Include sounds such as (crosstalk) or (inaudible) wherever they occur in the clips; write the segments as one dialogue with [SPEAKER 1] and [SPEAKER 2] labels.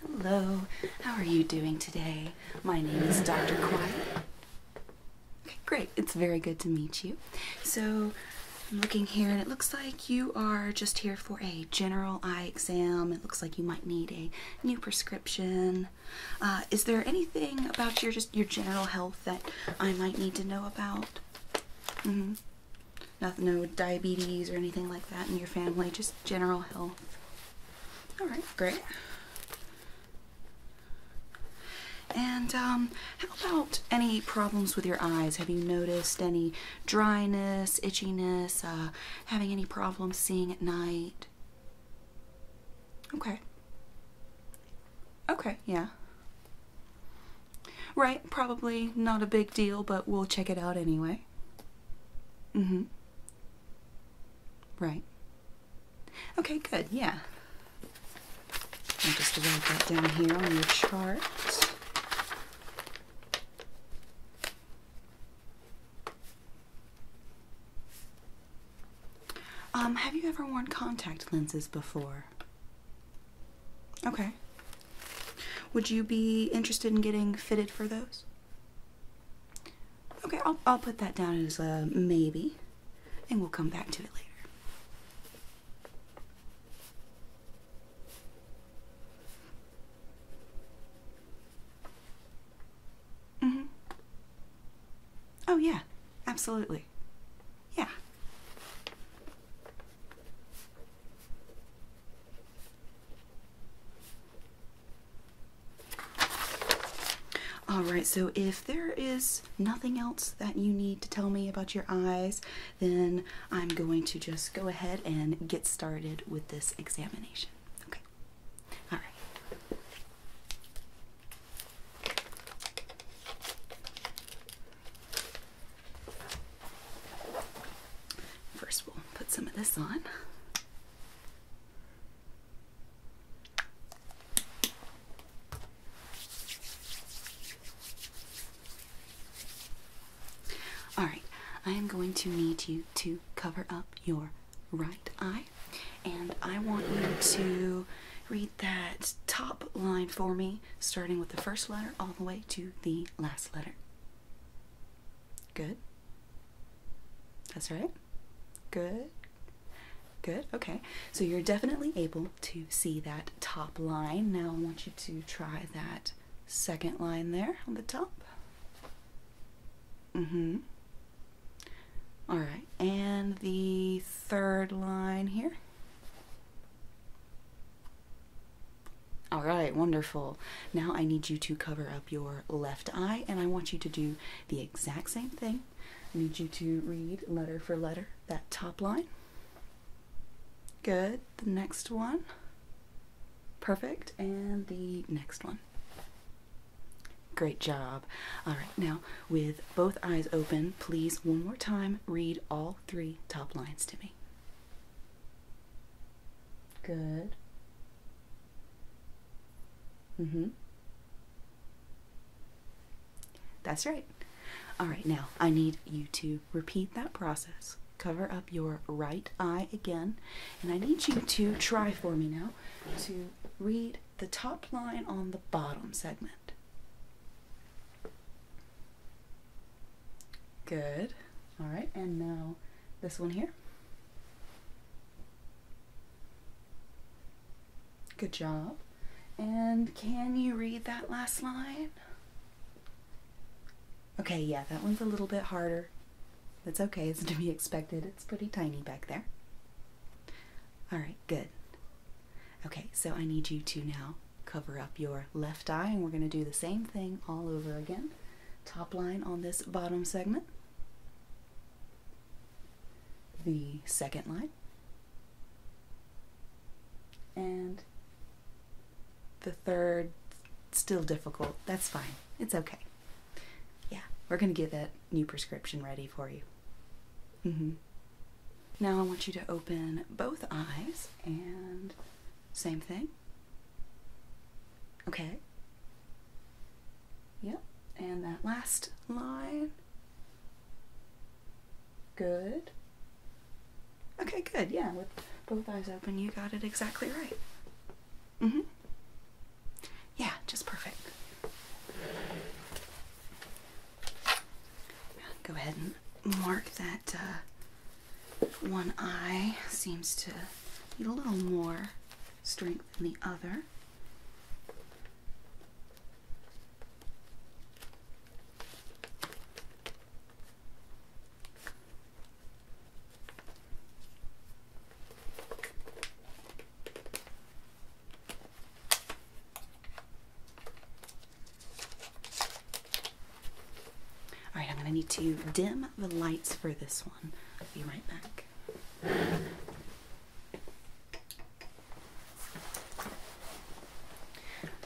[SPEAKER 1] Hello, how are you doing today? My name is Dr. Quiet. Okay, great, it's very good to meet you. So, I'm looking here and it looks like you are just here for a general eye exam. It looks like you might need a new prescription. Uh, is there anything about your just your general health that I might need to know about? Mm-hmm. Nothing, no diabetes or anything like that in your family. Just general health. All right, great. And um, how about any problems with your eyes? Have you noticed any dryness, itchiness, uh, having any problems seeing at night? Okay. Okay, yeah. Right, probably not a big deal, but we'll check it out anyway. Mm hmm. Right. Okay, good, yeah. just write that down here on your chart. Um, have you ever worn contact lenses before? Okay. Would you be interested in getting fitted for those? Okay, I'll, I'll put that down as a maybe, and we'll come back to it later. Mm-hmm. Oh, yeah, absolutely. Yeah. All right, so if there is nothing else that you need to tell me about your eyes, then I'm going to just go ahead and get started with this examination. Okay. All right. First, we'll put some of this on. All right, I am going to need you to cover up your right eye. And I want you to read that top line for me, starting with the first letter all the way to the last letter. Good. That's right. Good. Good. Okay. So you're definitely able to see that top line. Now I want you to try that second line there on the top. Mm hmm. All right, and the third line here. All right, wonderful. Now I need you to cover up your left eye, and I want you to do the exact same thing. I need you to read letter for letter that top line. Good. The next one. Perfect. And the next one. Great job. All right, now with both eyes open, please one more time read all three top lines to me. Good. Mm-hmm. That's right. All right, now I need you to repeat that process. Cover up your right eye again, and I need you to try for me now to read the top line on the bottom segment. Good. All right, and now this one here. Good job. And can you read that last line? Okay, yeah, that one's a little bit harder. That's okay, it's (laughs) to be expected. It's pretty tiny back there. Alright, good. Okay, so I need you to now cover up your left eye, and we're going to do the same thing all over again. Top line on this bottom segment, the second line, and the third, still difficult. That's fine, it's okay yeah, we're going to get that new prescription ready for you. Mm -hmm. Now I want you to open both eyes and same thing. Okay. Yep. And that last line. Good. Okay, good. Yeah, with both eyes open, you got it exactly right. Mm hmm. Yeah, just perfect. Go ahead and mark that uh, one eye seems to need a little more strength than the other. All right, I'm going to need to dim the lights for this one. I'll be right back.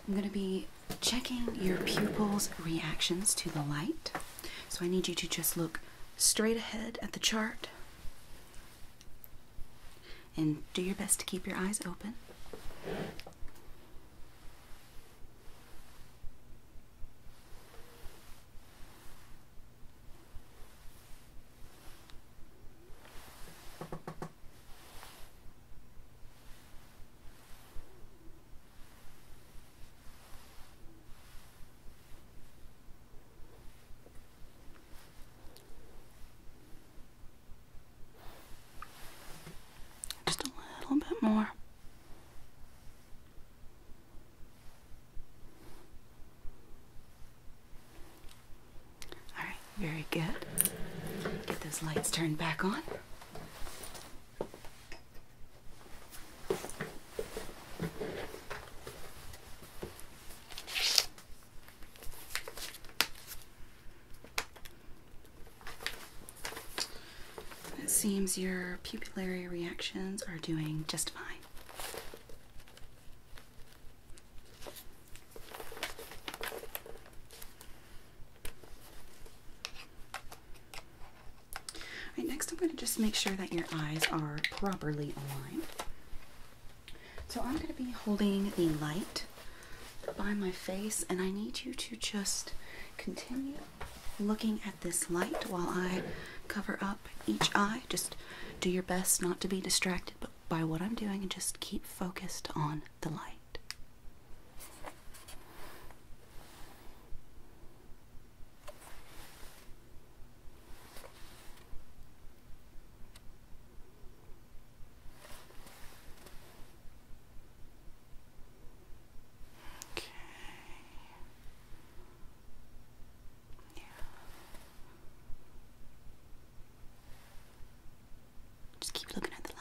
[SPEAKER 1] I'm going to be checking your pupils' reactions to the light. So I need you to just look straight ahead at the chart and do your best to keep your eyes open. Just a little bit more. All right, very good. Get those lights turned back on. It seems your pupillary reactions are doing just fine. All right, next I'm going to just make sure that your eyes are properly aligned. So I'm going to be holding the light by my face, and I need you to just continue looking at this light while I cover up each eye. Just do your best not to be distracted but by what I'm doing and just keep focused on the light. Okay. Yeah. Just keep looking at the light.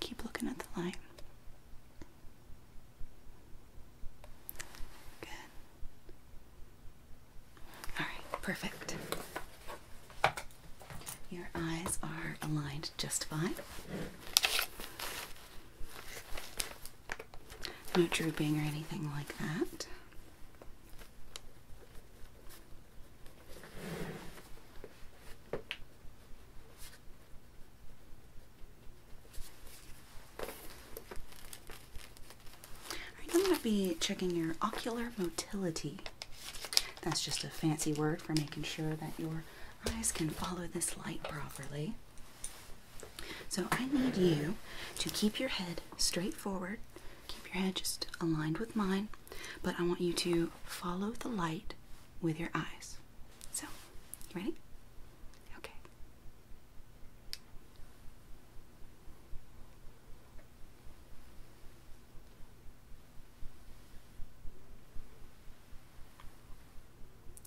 [SPEAKER 1] Keep looking at the line. Good. All right, perfect. Your eyes are aligned just fine. No drooping or anything like that. I'm going to be checking your ocular motility. That's just a fancy word for making sure that your eyes can follow this light properly. So I need you to keep your head straight forward, keep your head just aligned with mine, but I want you to follow the light with your eyes. So, ready? Okay.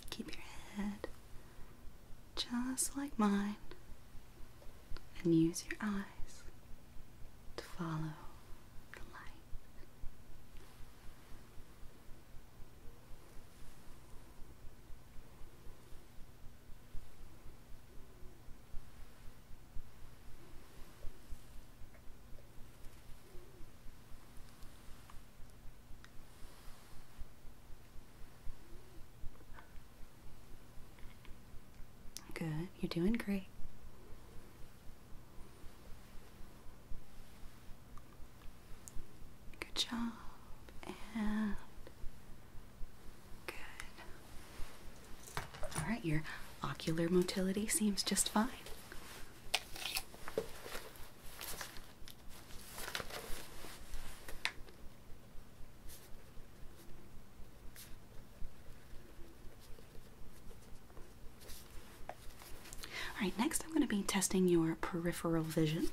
[SPEAKER 1] Keep your head just like mine, and use your eyes to follow the light. Good. You're doing great. Good job. And good. All right, your ocular motility seems just fine. All right, next I'm going to be testing your peripheral vision.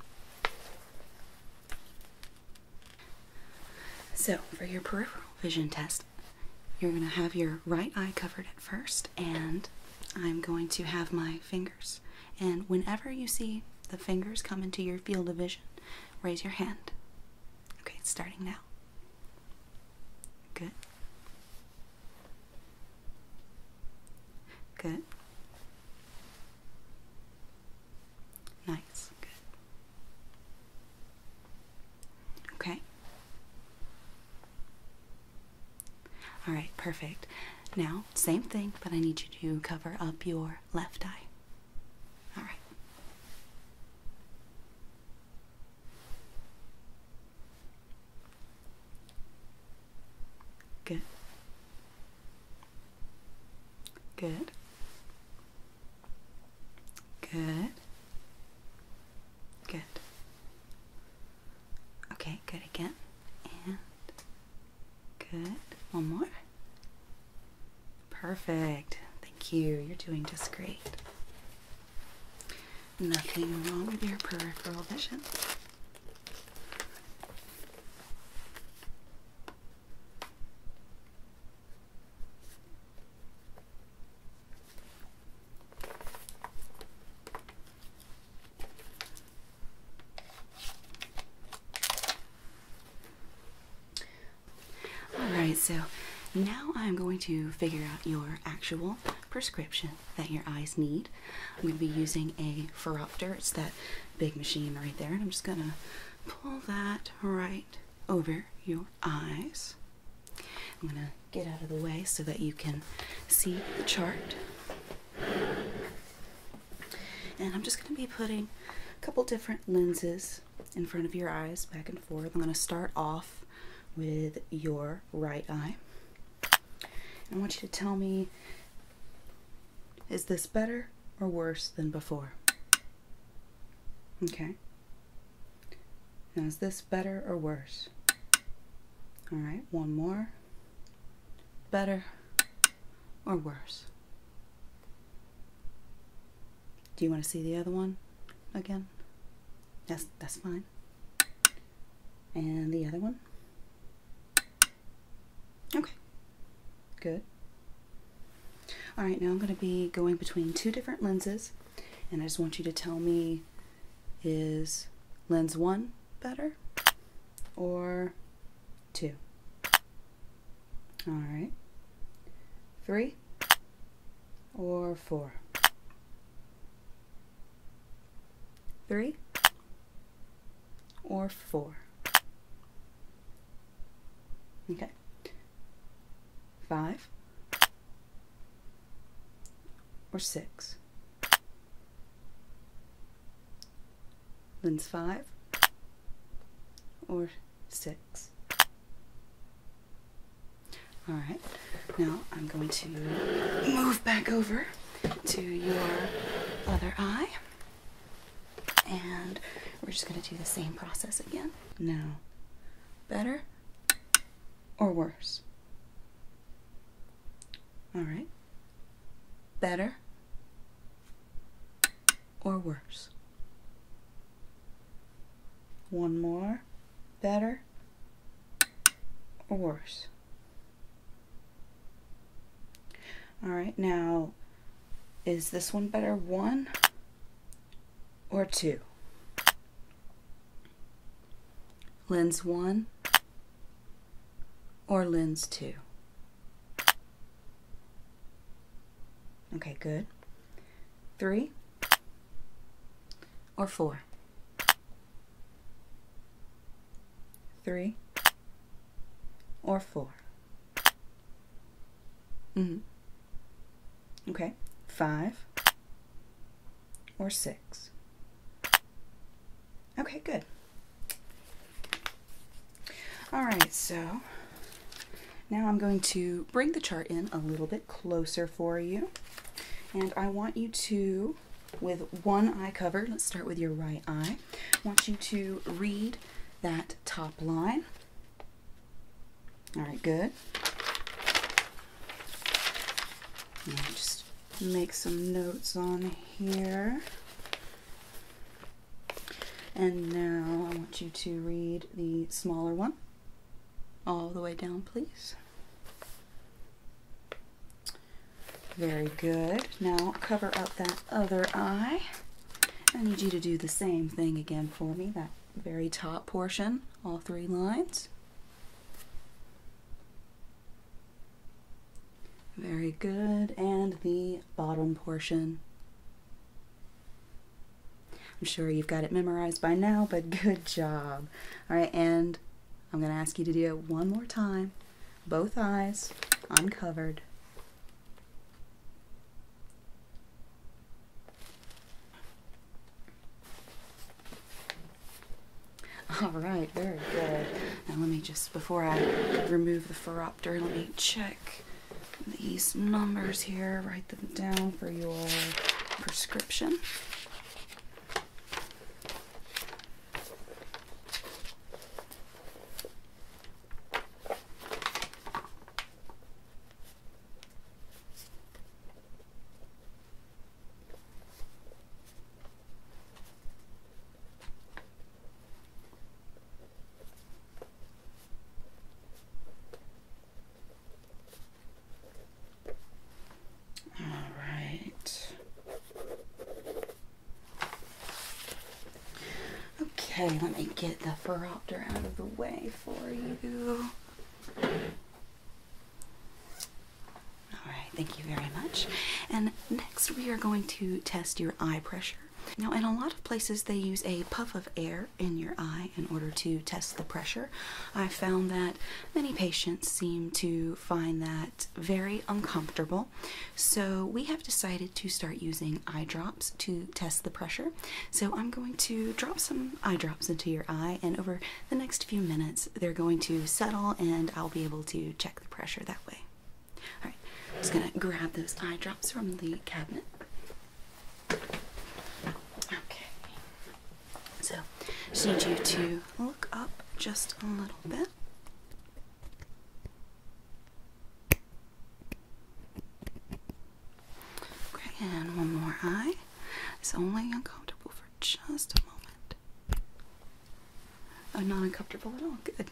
[SPEAKER 1] So, for your peripheral vision test, you're going to have your right eye covered at first, and I'm going to have my fingers. And whenever you see the fingers come into your field of vision. Raise your hand. Okay, starting now. Good. Good. Nice. Good. Okay. All right, perfect. Now, same thing, but I need you to cover up your left eye. All right. Good. Good. Good. Good. Okay, good again. And Good. One more. Perfect. Thank you. You're doing just great. Nothing wrong with your peripheral vision. Alright, so now I'm going to figure out your actual prescription that your eyes need. I'm going to be using a ferropter, it's that big machine right there, and I'm just going to pull that right over your eyes. I'm going to get out of the way so that you can see the chart. And I'm just going to be putting a couple different lenses in front of your eyes back and forth. I'm going to start off with your right eye. I want you to tell me is this better or worse than before? Okay. Now, is this better or worse? All right, one more better, or worse? Do you want to see the other one again? That's, that's fine. And the other one? Okay, good. All right, now I'm going to be going between two different lenses, and I just want you to tell me is lens one better or two. All right. Three or four. Three or four. Okay. Five or six Lens 5 or 6. Alright, now I'm going to move back over to your other eye. And we're just going to do the same process again. Now, better or worse? Alright better or worse? One more. Better or worse? All right, now is this one better one or two? Lens one or lens 2? Okay, good. 3 or 4? 3 or 4? -hmm. Okay, 5 or 6? Okay, good. All right, so now I'm going to bring the chart in a little bit closer for you. And I want you to, with one eye covered, let's start with your right eye, want you to read that top line. All right, good. just make some notes on here. And now I want you to read the smaller one all the way down, please. Very good. Now cover up that other eye. I need you to do the same thing again for me, that very top portion, all three lines. Very good. And the bottom portion. I'm sure you've got it memorized by now, but (laughs) good job. All right, and I'm going to ask you to do it one more time. Both eyes uncovered. All right, very good. Now let me just, before I remove the phoropter, let me check these numbers here. Write them down for your prescription. All right. Okay, let me get the Phoropter out of the way for you. All right, thank you very much. And next, we are going to test your eye pressure. Now, in a lot of places, they use a puff of air in your eye in order to test the pressure. I found that many patients seem to find that very uncomfortable, so we have decided to start using eye drops to test the pressure. So, I'm going to drop some eye drops into your eye, and over the next few minutes, they're going to settle, and I'll be able to check the pressure that way. Alright, I'm just gonna grab those eye drops from the cabinet. Okay. So just need you to look up just a little bit. Okay, and one more eye. It's only uncomfortable for just a moment. I'm uh, not uncomfortable at all. Good.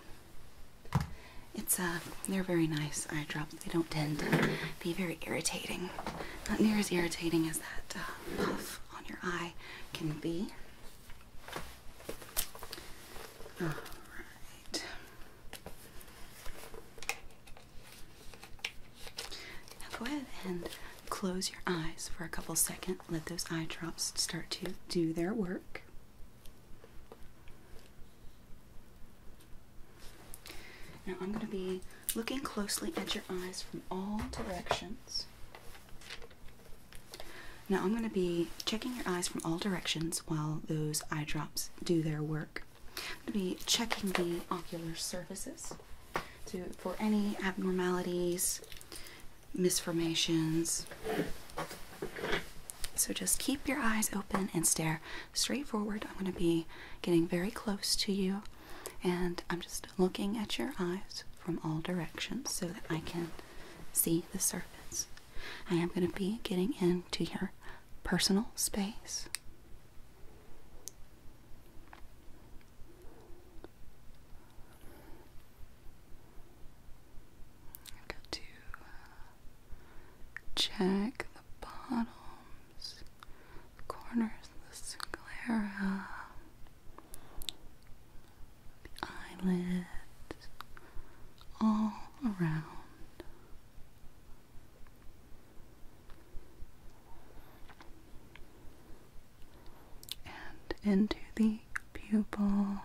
[SPEAKER 1] It's uh, they're very nice eye drops. They don't tend to be very irritating. Not near as irritating as that uh, puff on your eye can be. All right. Now go ahead and close your eyes for a couple seconds let those eye drops start to do their work. Now I'm going to be looking closely at your eyes from all directions. Now I'm going to be checking your eyes from all directions while those eye drops do their work. I'm going to be checking the ocular surfaces to, for any abnormalities, misformations. So just keep your eyes open and stare straight forward. I'm going to be getting very close to you and I'm just looking at your eyes from all directions so that I can see the surface. I am going to be getting into your personal space got to uh, check the bottoms, the corners of the sclera, the eyelids, all around and into the pupil.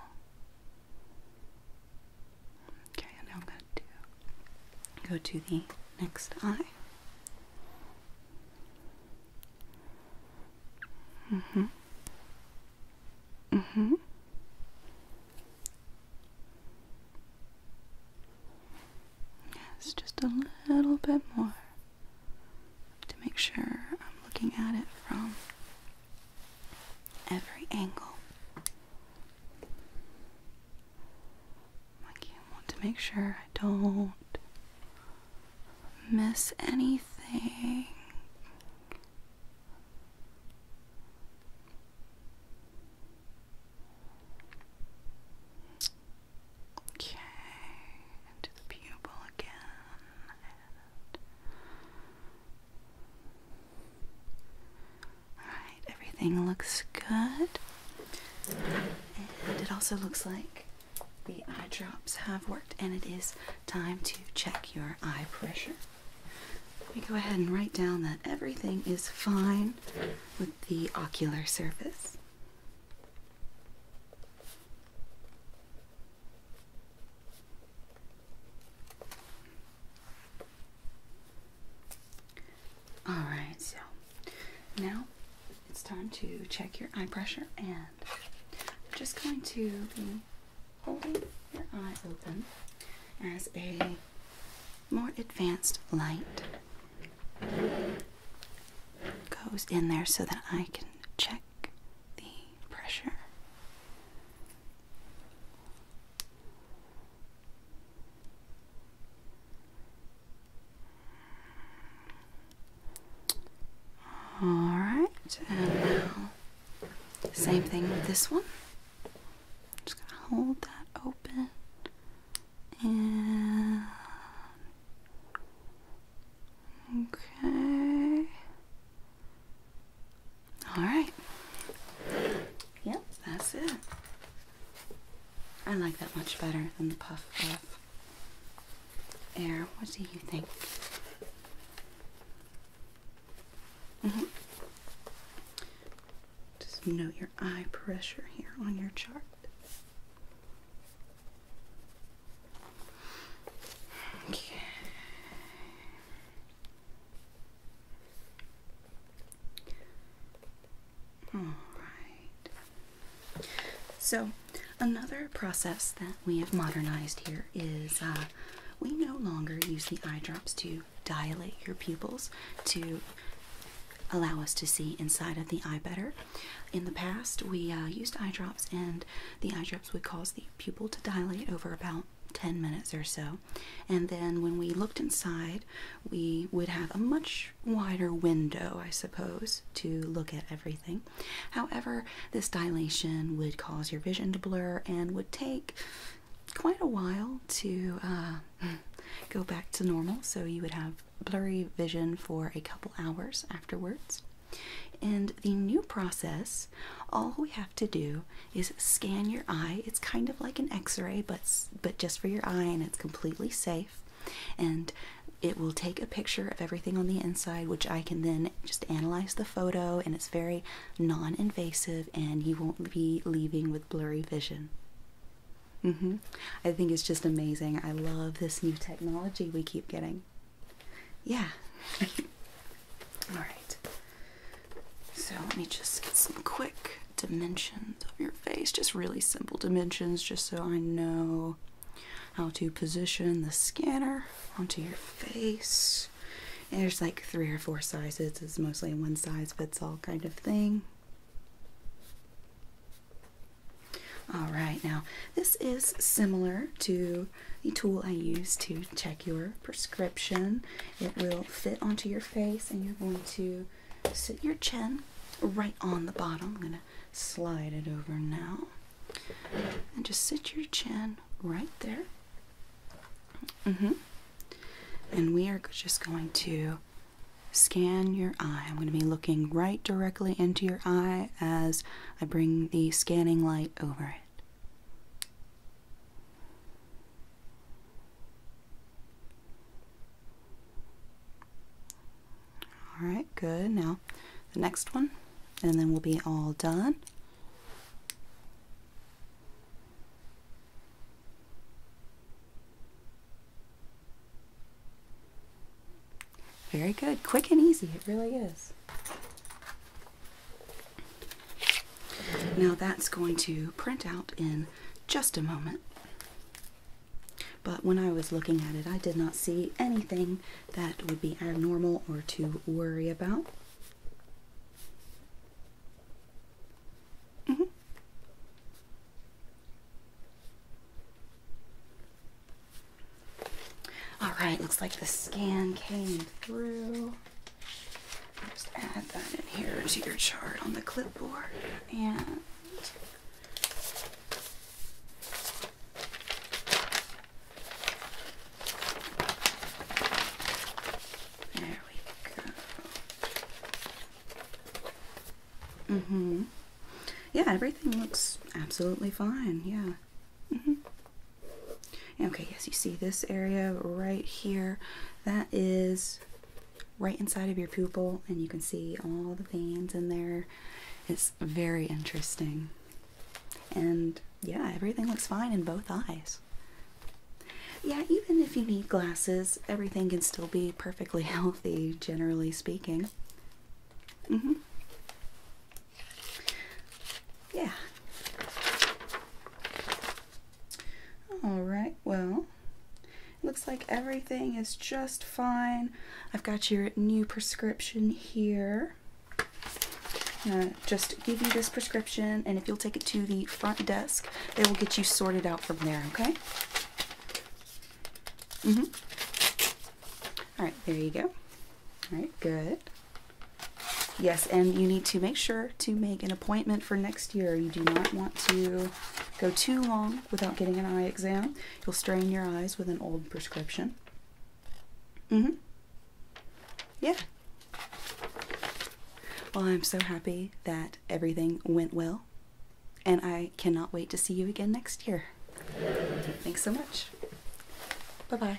[SPEAKER 1] Okay, now I'm going to do, go to the next eye. Mm-hmm. Mm-hmm. Yes, just a little bit more to make sure I'm looking at it from every angle. Like, you want to make sure I don't miss anything. Okay, into the pupil again. Alright, everything looks good. And it also looks like the eye drops have worked, and it is time to check your eye pressure. Let me go ahead and write down that everything is fine with the ocular surface. All right, so now it's time to check your eye pressure, and I'm just going to be holding your eye open as a more advanced light goes in there so that I can check the pressure. All right, and now same thing with this one. Just gonna hold that open and Okay. All right. Yep, that's it. I like that much better than the puff of air. What do you think? Mm-hmm. Just note your eye pressure here on your chart. Okay. All right. So, another process that we have modernized here is uh, we no longer use the eye drops to dilate your pupils to allow us to see inside of the eye better. In the past, we uh, used eye drops, and the eye drops would cause the pupil to dilate over about 10 minutes or so. And then when we looked inside, we would have a much wider window, I suppose, to look at everything. However, this dilation would cause your vision to blur and would take quite a while to uh, (laughs) go back to normal. So you would have blurry vision for a couple hours afterwards. And the new process, all we have to do is scan your eye. It's kind of like an x-ray, but but just for your eye and it's completely safe. And it will take a picture of everything on the inside, which I can then just analyze the photo and it's very non-invasive and you won't be leaving with blurry vision. Mm-hmm. I think it's just amazing. I love this new technology we keep getting. Yeah. (laughs) All right. So let me just get some quick dimensions of your face. Just really simple dimensions, just so I know how to position the scanner onto your face. there's like three or four sizes. It's mostly a one size fits all kind of thing. All right, now this is similar to the tool I use to check your prescription. It will fit onto your face, and you're going to sit your chin right on the bottom. I'm going to slide it over now. And just sit your chin right there. Mm hmm. And we are just going to scan your eye. I'm going to be looking right directly into your eye as I bring the scanning light over it. All right, good. Now the next one, and then we'll be all done. Very good. Quick and easy. It really is. Now that's going to print out in just a moment. But when I was looking at it, I did not see anything that would be abnormal or to worry about. Mm-hmm. All right, looks like the scan came through. Just add that in here to your chart on the clipboard and there we go. Mm-hmm. Yeah, everything looks absolutely fine. Yeah. Mm-hmm. Okay, yes, you see this area right here. That is right inside of your pupil, and you can see all the veins in there. It's very interesting. And yeah, everything looks fine in both eyes. Yeah, even if you need glasses, everything can still be perfectly (laughs) healthy, generally speaking. Mm hmm yeah. All right, well, looks like everything is just fine. I've got your new prescription here. just give you this prescription, and if you'll take it to the front desk, they will get you sorted out from there, okay? Mm-hmm. All right, there you go. All right, good. Yes, and you need to make sure to make an appointment for next year. You do not want to go too long without getting an eye exam. You'll strain your eyes with an old prescription. Mm-hmm. Yeah. Well, I'm so happy that everything went well, and I cannot wait to see you again next year. Thanks so much. Bye-bye.